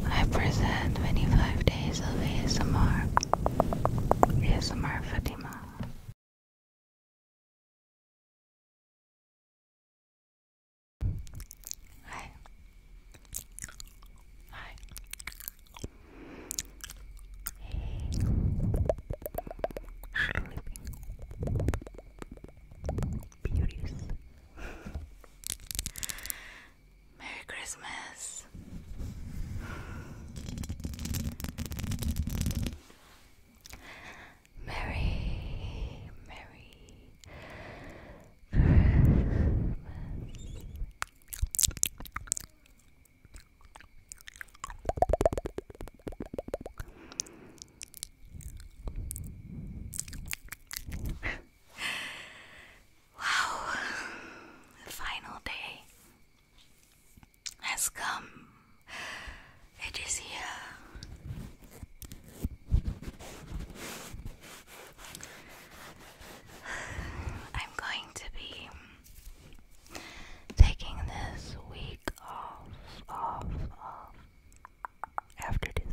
I present 25 days of ASMR. ASMR Fatima. Hi. Hi. Hey. Sleeping. Beauties. Merry Christmas. Merry, Merry Christmas. Wow, the final day has come. It is here. I'm going to be taking this week off, off, off after this,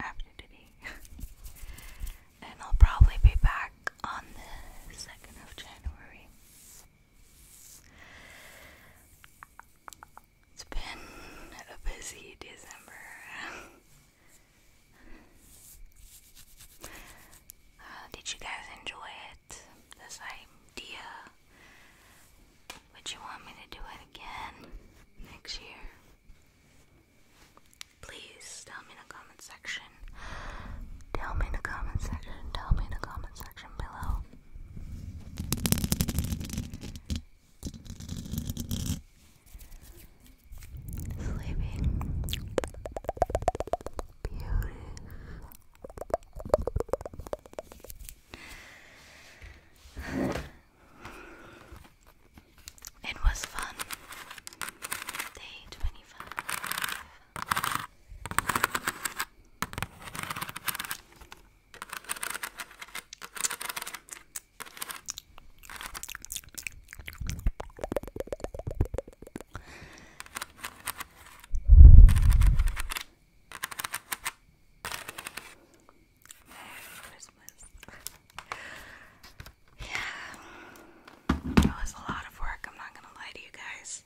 after today. and I'll probably be back on the 2nd of January. It's been a busy December. Uh, did you guys enjoy it? This idea? Would you want me to do it again next year? Please tell me in the comment section. Tell me in the comment section. Tell me in the comment section below. Sleeping. Beautiful. It was fun. Day 25 yeah, it was a lot of work. I'm not gonna lie to you guys.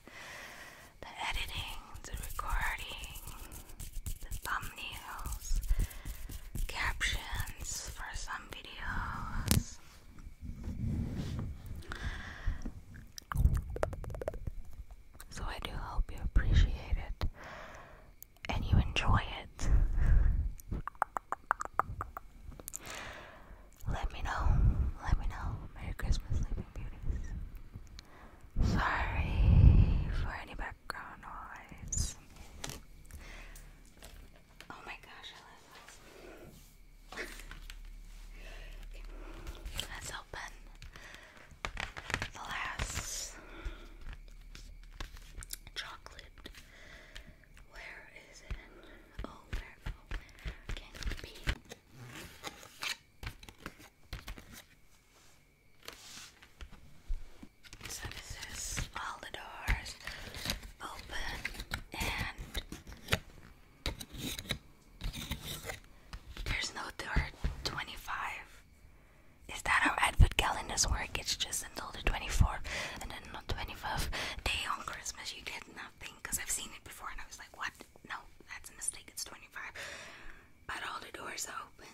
The editing, the recording, the thumbnails, captions for some videos. So I do hope you appreciate it and you enjoy it. Let me know. Let me know. Merry Christmas, Sleeping Beauties. Sorry for any background noise. Oh my gosh, I love this. open the last chocolate where is it? Oh, oh, where, can it be? So this is all the doors open and there's no door 25 is that how advent calendars work? It's just until the 24th and then on the 25th day on Christmas you get nothing because I've seen it before and I was like, what? No, that's a mistake. It's 25. But all the doors open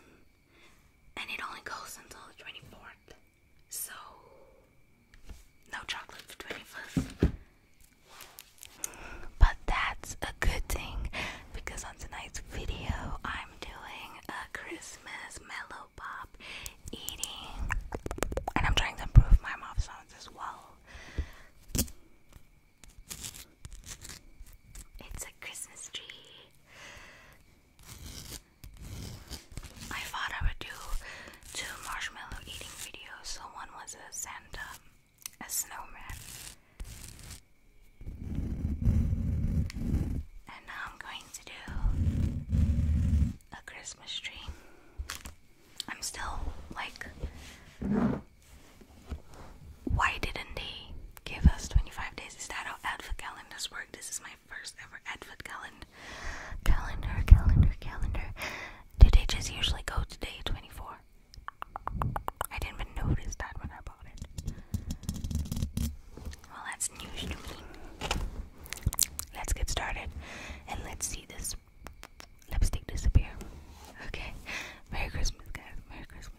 and it only goes until the 24th. So, no chocolate for 25th. But that's a good thing because on tonight's video I'm doing a Christmas mellow pop eating, and I'm trying to improve my mouth sounds as well. It's a Christmas tree. I thought I would do two marshmallow eating videos. So one was a Santa, a snowman, and now I'm going a Christmas tree. I'm still like, why didn't he give us 25 days? Is that how advent calendars work? This is my first ever advent calendar. Calendar, calendar, calendar. Do just usually go to day 24? I didn't even notice that when I bought it. Well, that's new. to me. Let's get started and let's see this lipstick disappear. Okay. Merry Christmas, guys. Merry Christmas.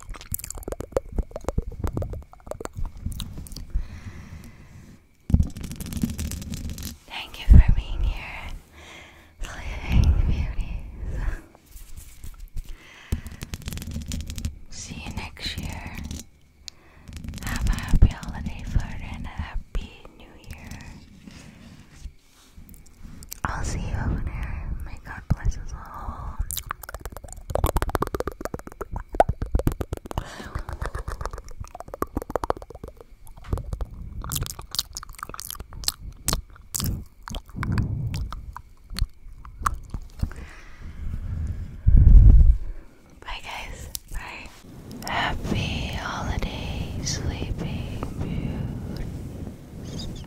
Thank you for being here, living beauties. See you next year. Have a happy holiday flirt and a happy new year. I'll see you over there. May God bless us all. Bye, guys. Bye. Happy holiday, sleeping beauty.